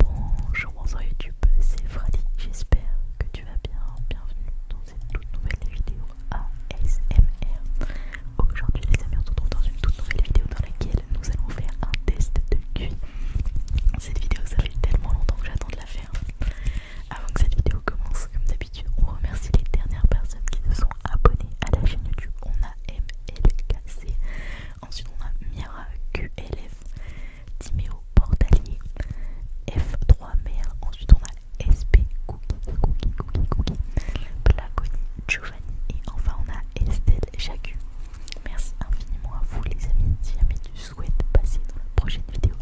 Bonjour, bonsoir YouTube, c'est Fradi, j'espère que tu vas bien, bienvenue dans cette toute nouvelle vidéo ASMR. Aujourd'hui les amis, on se retrouve dans une toute nouvelle vidéo dans laquelle nous allons faire un test de QI. Cette vidéo, ça fait tellement longtemps que j'attends de la faire. Avant que cette vidéo commence, comme d'habitude, on remercie les dernières personnes qui se sont abonnées à la chaîne YouTube. On a MLKC, Ensuite, on a Mira QLF, Timeo Portalier, F3 Mer. Ensuite, on a SP Cookie, Cookie, Cookie, Cookie, Giovanni. Et enfin, on a Estelle Jacu. Merci infiniment à vous, les amis. Si jamais tu souhaites passer dans la prochaine vidéo,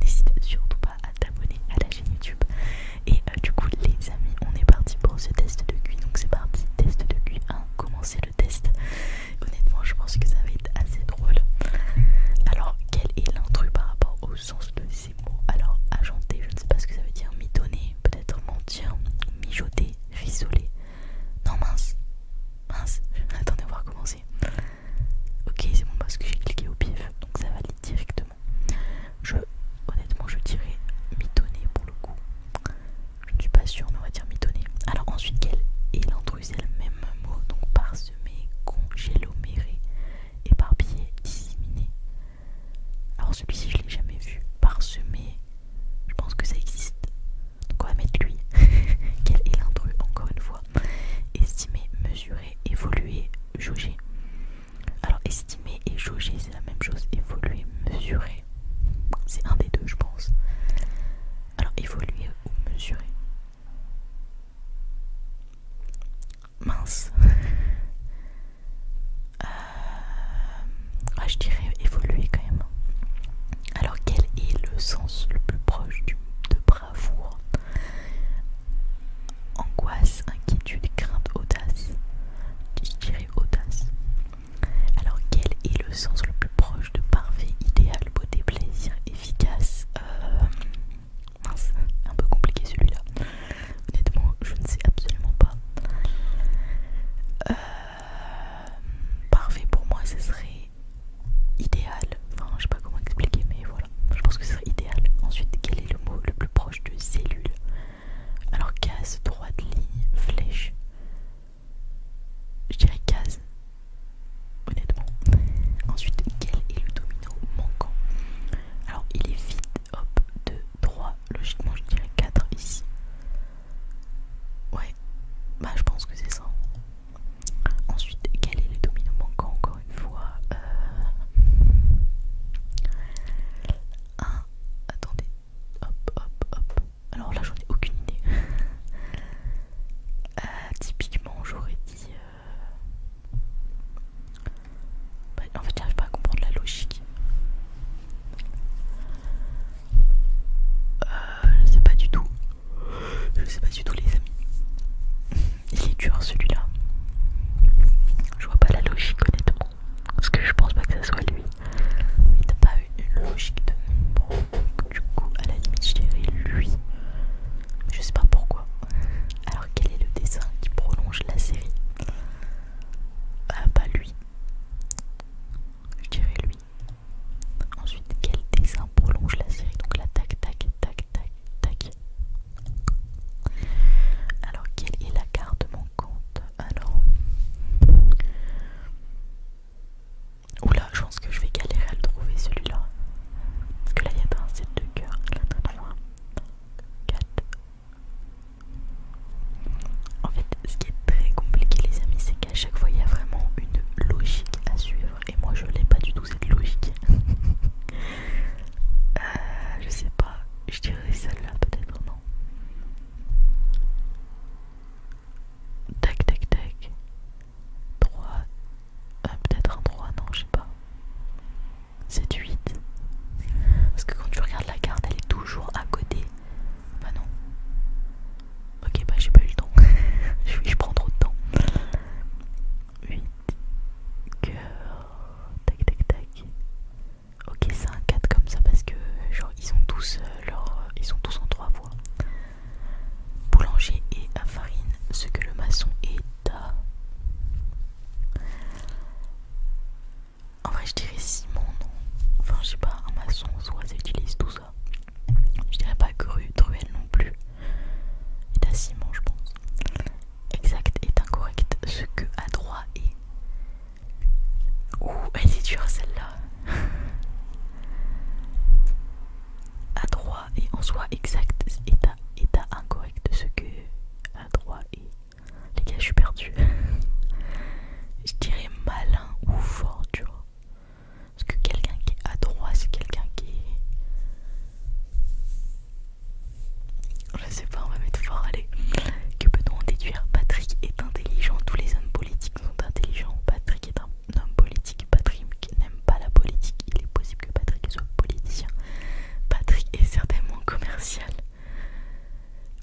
n'hésite surtout pas à t'abonner à la chaîne YouTube. Et euh, du coup, les amis, on est parti pour ce test de QI. Donc, c'est parti, test de QI 1. Commencez le test. Honnêtement, je pense que ça va être assez drôle. Alors, quel est l'intrus par rapport au sens de ces mots Alors, agenter, je ne sais pas ce que ça veut dire. Mitonner, peut-être mentir, mijoter, visoler. Non, mince. Mince. Attendez, voir va recommencer. Ok, c'est bon parce que j'ai cliqué au pif, donc ça valide directement. Je, honnêtement, je dirais mitonner pour le coup. Je ne suis pas sûre, mais on va dire mitonné. Alors ensuite, quel est C'est le même mot Donc parsemé, congéloméré, éparpillé, disséminé. Alors celui-ci, je l'ai jamais vu. Parsemé, je pense que ça existe. Donc on va mettre lui. quel est l'intrus Encore une fois. Estimer, mesurer, évoluer, jauger. Alors estimer et jauger, c'est la même chose. Évoluer, mesurer. C'est un des deux, je pense. Alors, évoluer ou mesurer Mince. Euh, je dirais évoluer quand même. Alors, quel est le sens le plus proche de bravoure Angoisse, inquiétude, crainte, audace. Je dirais audace. Alors, quel est le sens le plus proche de parfait, idéal, beauté, plaisir, efficace euh, Mince, un peu compliqué celui-là. Honnêtement, je ne sais absolument pas. Euh, parfait pour moi, ce serait idéal. Enfin, je sais pas comment expliquer, mais voilà. Je pense que ce serait idéal. Ensuite, quel est le mot le plus proche de cellule Alors, case, droite, ligne, flèche. Je dirais 15, honnêtement. Ensuite, quel est le domino manquant Alors, il est vide, hop, 2, 3. Logiquement, je dirais 4 ici. Ouais, bah je pense que c'est ça. Ensuite, quel est le domino manquant encore une fois 1. Euh, Attendez, hop, hop, hop. Alors là, j'en ai aucune idée. Euh, typiquement, j'aurais dit. Euh, bah, en fait, j'arrive pas à comprendre la logique. Euh, je sais pas du tout. Je sais pas du tout, les amis. Il est dur celui-là. Je vois pas la logique, honnêtement. Parce que je pense pas que ça soit lui il n'a pas eu une logique de du coup à la limite je dirais lui je sais pas pourquoi alors quel est le dessin qui prolonge la série ah pas lui je dirais lui ensuite quel dessin prolonge la série donc là tac tac tac tac tac alors quelle est la carte manquante alors Oula, je pense que je vais galérer à le trouver celui-là. Parce que là, il y a un set de cœur. Là, pas loin. En fait, ce qui est très compliqué, les amis, c'est qu'à chaque fois, il y a vraiment une logique à suivre. Et moi, je l'ai pas du tout, cette logique. Euh, je sais pas. Je dirais celle-là, peut-être, non Tac, tac, tac. 3. Euh, peut-être un 3, non, je sais pas. 7, 8. Parce que quand tu regardes la carte, elle est toujours à côté. Bah non. Ok, bah j'ai pas eu le temps. je, prends trop de temps. 8. Cœur. Tac, tac, tac. Ok, c'est un 4 comme ça parce que, genre, ils sont tous. Euh, alors, ils sont tous en trois voix. Boulanger et à farine, ce que le maçon est à... En vrai, je dirais ciment, non Enfin, je sais pas, un maçon, soit ça utilise tout ça. Je dirais pas que truelle non plus. Et à ciment, je pense. Exact est incorrect, ce que à droit est. Ouh, elle est dure celle-là adroit et en soi exact état, état incorrect de ce que adroit et les gars je suis perdu je dirais malin ou fort tu vois parce que quelqu'un qui est adroit c'est quelqu'un qui est je sais pas on va mettre fort allez que peut-on déduire Patrick est intelligent tous les hommes politiques sont intelligents Patrick est un un homme politique. Patrick n'aime pas la politique. Il est possible que Patrick soit politicien. Patrick est certainement commercial.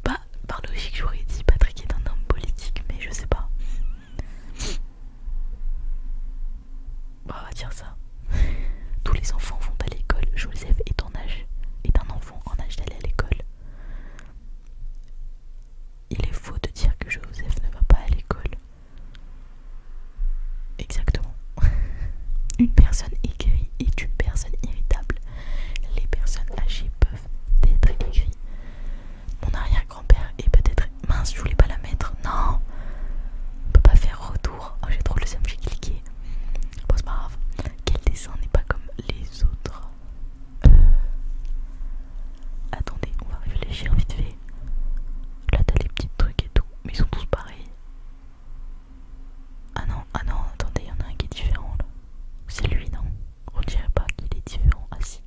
Bah, par logique, j'aurais dit Patrick est un homme politique, mais je sais pas. Bah, on va dire ça. Tous les enfants vont à l'école. Joseph est ton âge est un enfant en âge d'aller à l'école il est faux de dire que Joseph ne va pas à l'école. Exactement. Une personne aigrie est une personne irritable. Les personnes âgées peuvent être aigries. Mon arrière-grand-père est peut-être... Mince, je voulais pas la mettre. Non On peut pas faire retour. Oh, j'ai trop le seum, j'ai cliqué. Bon, c'est pas grave. Quel dessin n'est pas comme les autres euh, attendez, on va réfléchir vite fait. Là t'as les petits trucs et tout, mais ils sont tous pareils. Ah non, ah non, attendez, il y en a un qui est différent là. C'est lui, non On dirait pas qu'il est différent. Ah si.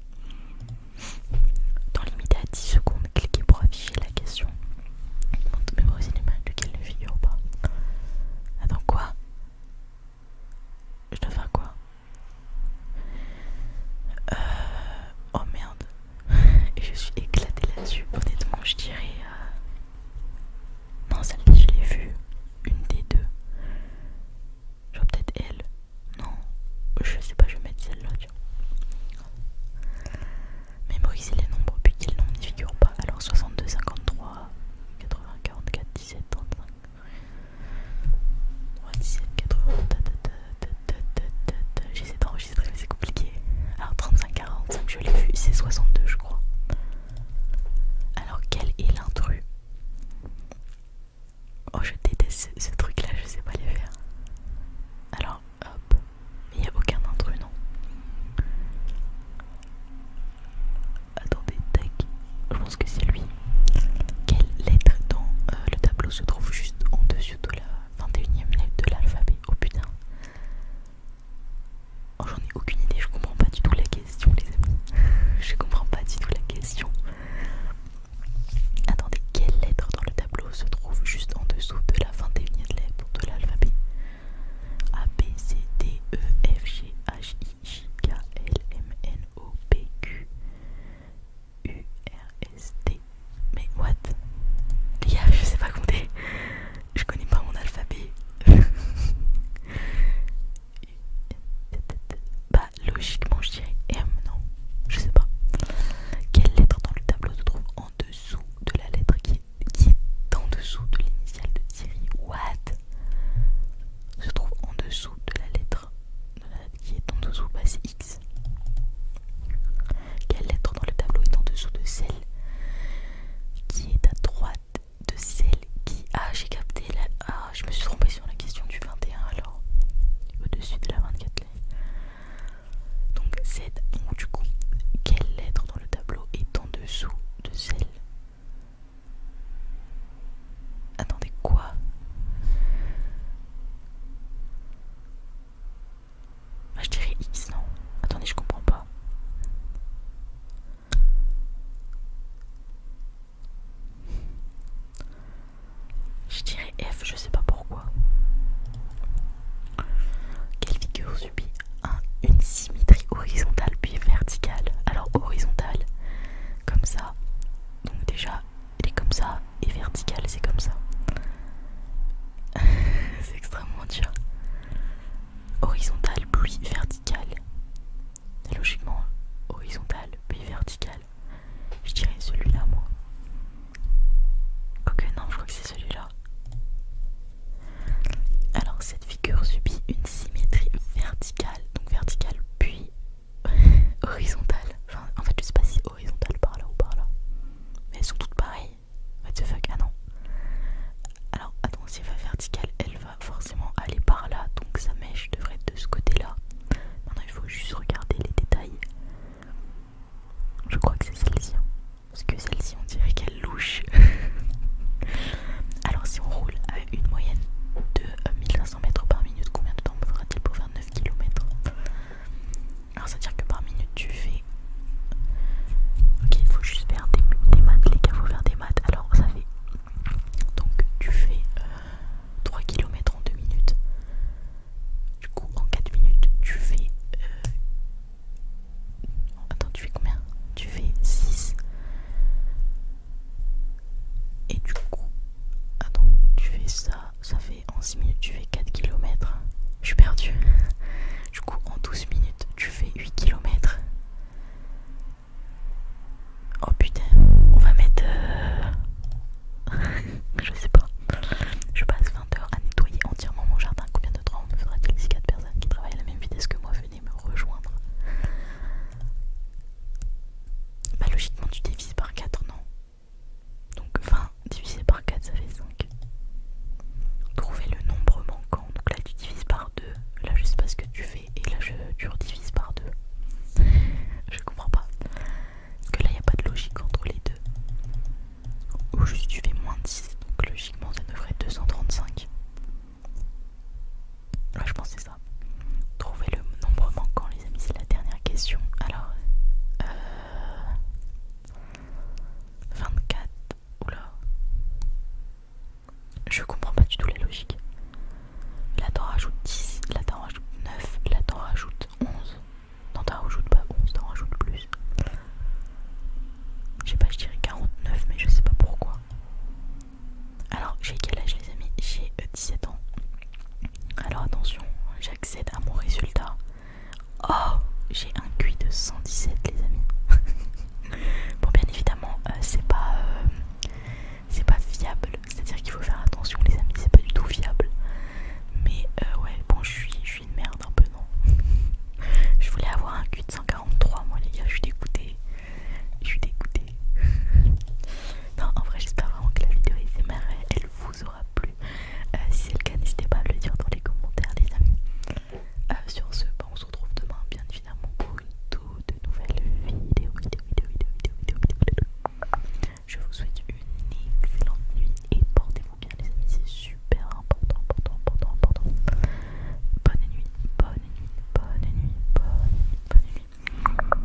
Dans limité à 10 secondes, cliquez pour afficher la question. Mais moi aussi de duquel ne figure pas. Attends quoi Je dois faire quoi euh, oh merde. Et je suis éclatée là-dessus. Honnêtement, je dirais. Euh, non, celle-là, je l'ai vue. Une des deux. Je vois peut-être elle. Non. Je sais pas, je vais mettre celle-là, tu vois. les nombres, puis qu'ils figure pas. Alors 62, 53, 80, 44, 17, 35. 80 J'essaie d'enregistrer mais c'est compliqué. Alors 35-45 je l'ai vu, c'est 62 je crois. Alors quel est l'intrus Oh je déteste ce, truc là, je sais pas les faire. Alors hop, il n'y a aucun intrus non Attendez, tac. Je pense que c'est lui. Quelle lettre dans euh, le tableau se trouve juste en dessous de la 21 e lettre de l'alphabet Oh putain. Oh, j'en ai aucune idée, je comprends pas du tout la question, les amis. je comprends pas du tout la question. Attendez, quelle lettre dans le tableau se trouve juste en dessous de la 21 e lettre de l'alphabet A, B, C, D, E, F, G, H, j k l m n o p q u r s t Mais what Les gars, je sais pas compter. Je connais pas mon alphabet. bah, logiquement, je dirais M, non Je sais pas. Quelle lettre dans le tableau se trouve en dessous de la lettre qui est, qui est en dessous de l'initiale de Thierry What Se trouve en dessous de la lettre qui est en dessous basse X. Quelle lettre dans le tableau est en dessous de celle qui est à droite de celle qui... a, ah, j'ai capté la... Ah, je me suis trompée sur la question du 21 alors. Au-dessus de la 24 lettres. Donc Z Donc du coup, quelle lettre dans le tableau est en dessous de celle Attendez, quoi bah, Je dirais X, non Attendez, je comprends pas. Je dirais F, je sais pas pourquoi. Quelle figure subit une symétrie horizontale puis verticale Alors horizontale, comme ça. Donc déjà, il est comme ça et vertical c'est comme ça. c'est extrêmement dur. Horizontal puis vertical. Logiquement, horizontal puis vertical. Je dirais celui-là moi. Ok non, je crois que c'est celui-là. Alors cette figure subit une symétrie verticale, donc verticale puis horizontal, en fait, je sais pas si horizontale par là ou par là. Mais elles sont toutes pareilles. What the fuck Ah non. Alors, attends, si elle va verticale, elle va forcément aller par là. Donc, sa mèche devrait être de ce côté-là. Maintenant, il faut juste regarder les détails. Je crois que c'est celle-ci. Hein. Parce que celle-ci, on dirait qu'elle louche. Alors, si on roule à une moyenne de 1500 euh, mètres par minute, combien de temps faudra-t-il pour 9 km. Alors, ça veut dire que par minute, tu fais. Ok, il faut juste faire des, maths, les gars, faut faire des maths. Alors, ça fait. Donc, tu fais 3 euh, km en 2 minutes. Du coup, en 4 minutes, tu fais. Euh... Attends, tu fais combien Tu fais 6. Et du coup, attends, ah tu fais ça, ça fait en 6 minutes, tu fais 4 km. Je suis perdue. Du coup, en 12 minutes, tu fais 8 km. Oh putain, on va mettre... Euh, je sais pas. Je passe 20 heures à nettoyer entièrement mon jardin. Combien de temps me faudra-t-il si 4 personnes qui travaillent à la même vitesse que moi venaient me rejoindre bah logiquement tu divises par 4 non Donc 20 divisé par 4 ça fait 5 Trouver le nombre manquant Donc là tu divises par 2 Là je sais pas ce que tu fais Et là je, tu redivises par 2 Je comprends pas que là il n'y a pas de logique entre les deux Ou juste tu fais moins 10 Donc logiquement ça devrait être 235 Là je pense que c'est Trouver le nombre manquant, les amis, c'est la dernière question. Alors, 24. Euh, Oula. Je comprends pas du tout la logique. Là, t'en rajoutes 10, là, t'en rajoutes 9, là, t'en rajoutes 11. Non, t'en rajoutes pas 11, t'en rajoutes plus. Je sais pas, je dirais 49, mais je sais pas pourquoi. Alors, j'ai quel âge, les amis J'ai 17 euh, ans. Alors attention, j'accède à mon résultat. Oh, j'ai un QI de 117 les amis. bon bien évidemment, euh, c'est pas euh, c'est pas fiable, c'est-à-dire qu'il faut faire attention les amis, c'est pas du tout fiable. Mais euh, ouais, bon je suis je suis une merde un peu non. je voulais avoir un QI de 143 moi les gars, je suis dégoûtée. Je suis dégoûtée. non, en vrai, j'espère vraiment que la vidéo Est aimée, elle vous aura plu. Euh, si c'est le cas, n'hésitez pas à le dire dans les commentaires, les amis. Euh, sur ce, bah, on se retrouve demain, bien évidemment, pour une toute nouvelle vidéo. vidéo, vidéo, vidéo, Je vous souhaite une excellente nuit et portez-vous bien, les amis. C'est super important, important, important, bonne nuit, bonne nuit, bonne nuit, bonne nuit. Bonne nuit.